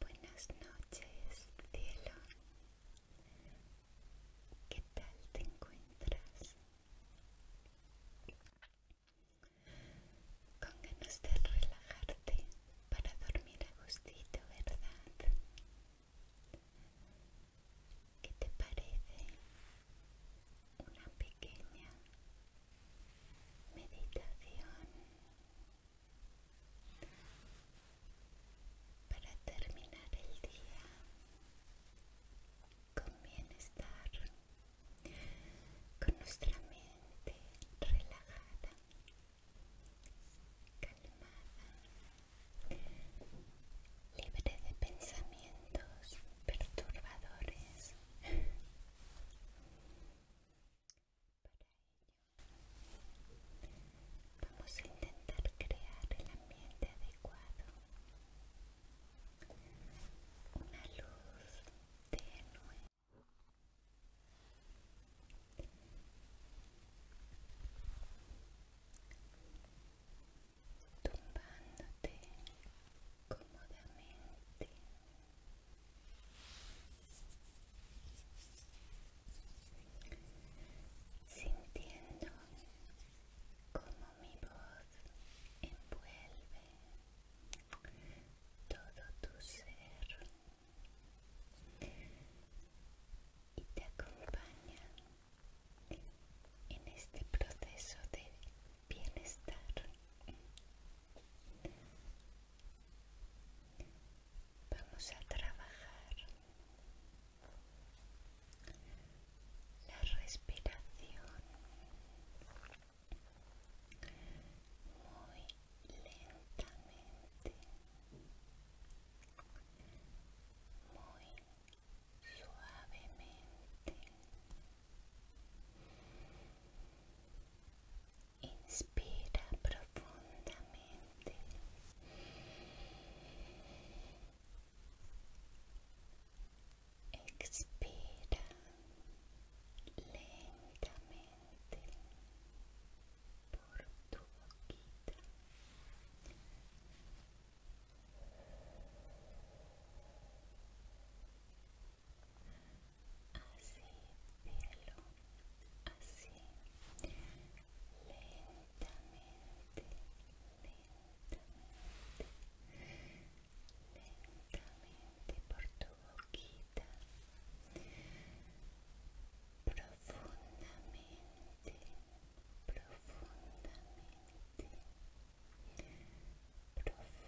Buenas noches, cielo. ¿Qué tal te encuentras? Con ganas de relajarte para dormir a gustito, ¿verdad? ¿Qué te parece una pequeña meditación para terminar el día con bienestar, con nuestra mente relajada, calmada, libre de pensamientos? perturbadores. vamos a intentar crear el ambiente adecuado. Una luz tenue tumbándote cómodamente. Sintiendo como mi voz envuelve todo tu ser y te acompaña en este proceso de bienestar. Vamos a trabajar la respiración muy lentamente, muy suavemente. Inspira profundamente. Expira lentamente por tu boquita. Así, pelo, así, lentamente, lentamente, lentamente por tu boquita, profundamente, profundamente profundamente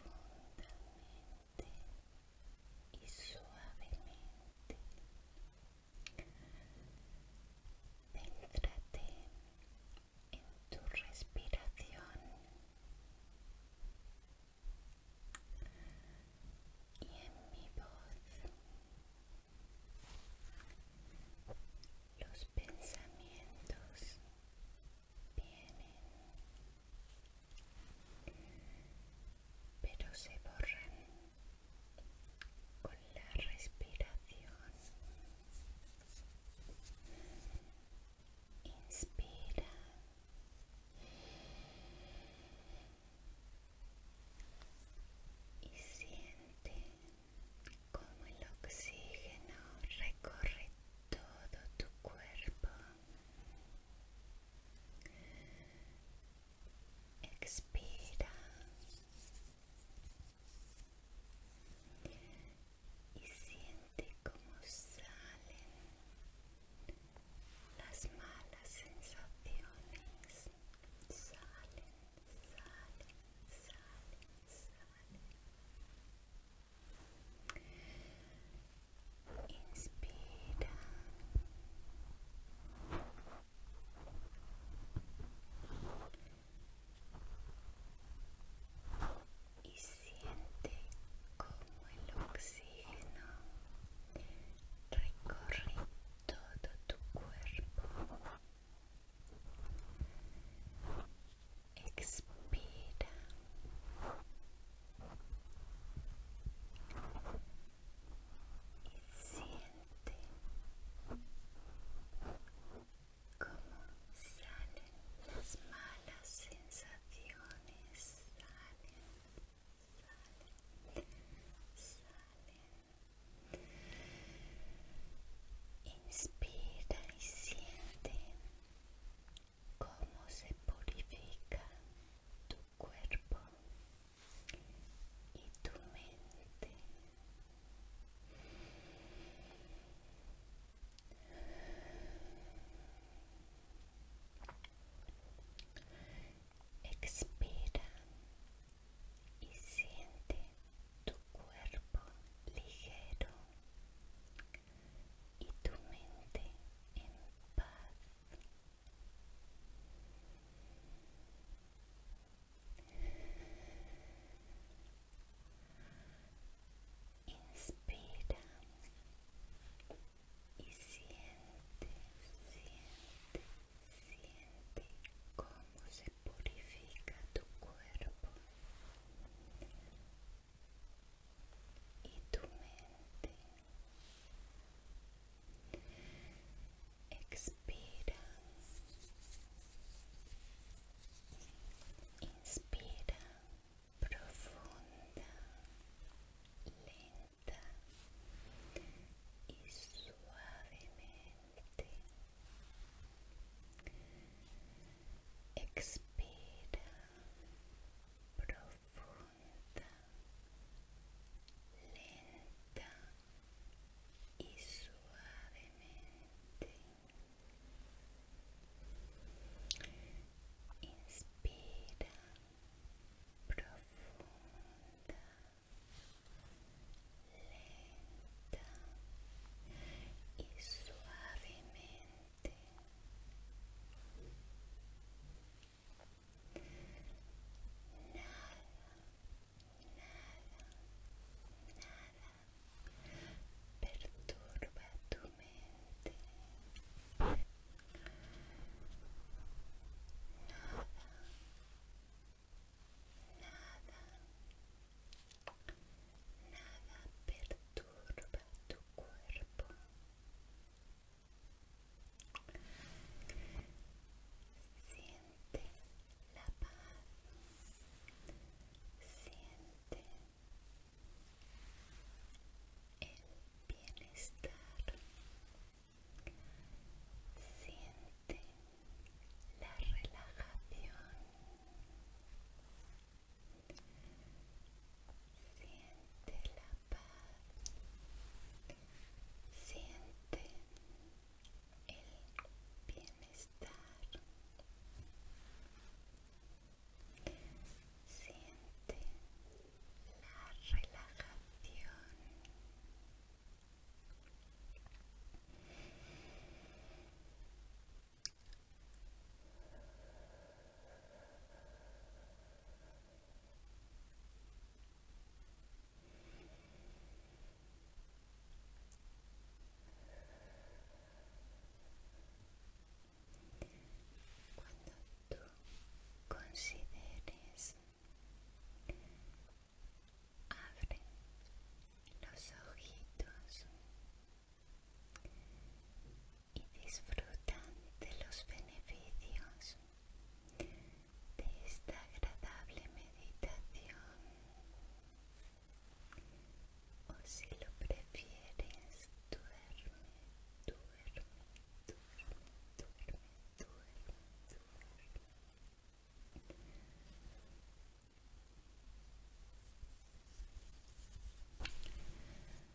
y suavemente. entrate en tu respiración y en mi voz. Los pensamientos vienen, pero se borran con la respiración. Inspira. Y siente como el oxígeno recorre todo tu cuerpo. Expira y siente cómo salen las malas sensaciones. Salen, salen, salen, salen. Inspira. Y siente como el oxígeno recorre todo tu cuerpo expira y siente como salen las malas sensaciones, salen, salen, salen. Inspira y siente cómo se purifica tu cuerpo y tu mente. Expira y siente tu cuerpo ligero y tu mente en paz. Inspira y siente, siente, siente cómo se purifica tu cuerpo y tu mente. Expira. Inspira profunda, lenta y suavemente. Expira profunda, lenta e suavemente. Inspira profunda, lenta e suavemente. nada nada nada perturba tu mente nada Nada, Nada perturba tu cuerpo. Siente la paz. Siente el bienestar. Siente la relajación. Siente la paz. Siente el bienestar. Siente la relajación. Cuando tú consideres, abre los ojitos y disfrutan de los beneficios de esta agradable meditación o si lo prefieres duerme, duerme, duerme, duerme, duerme, duerme.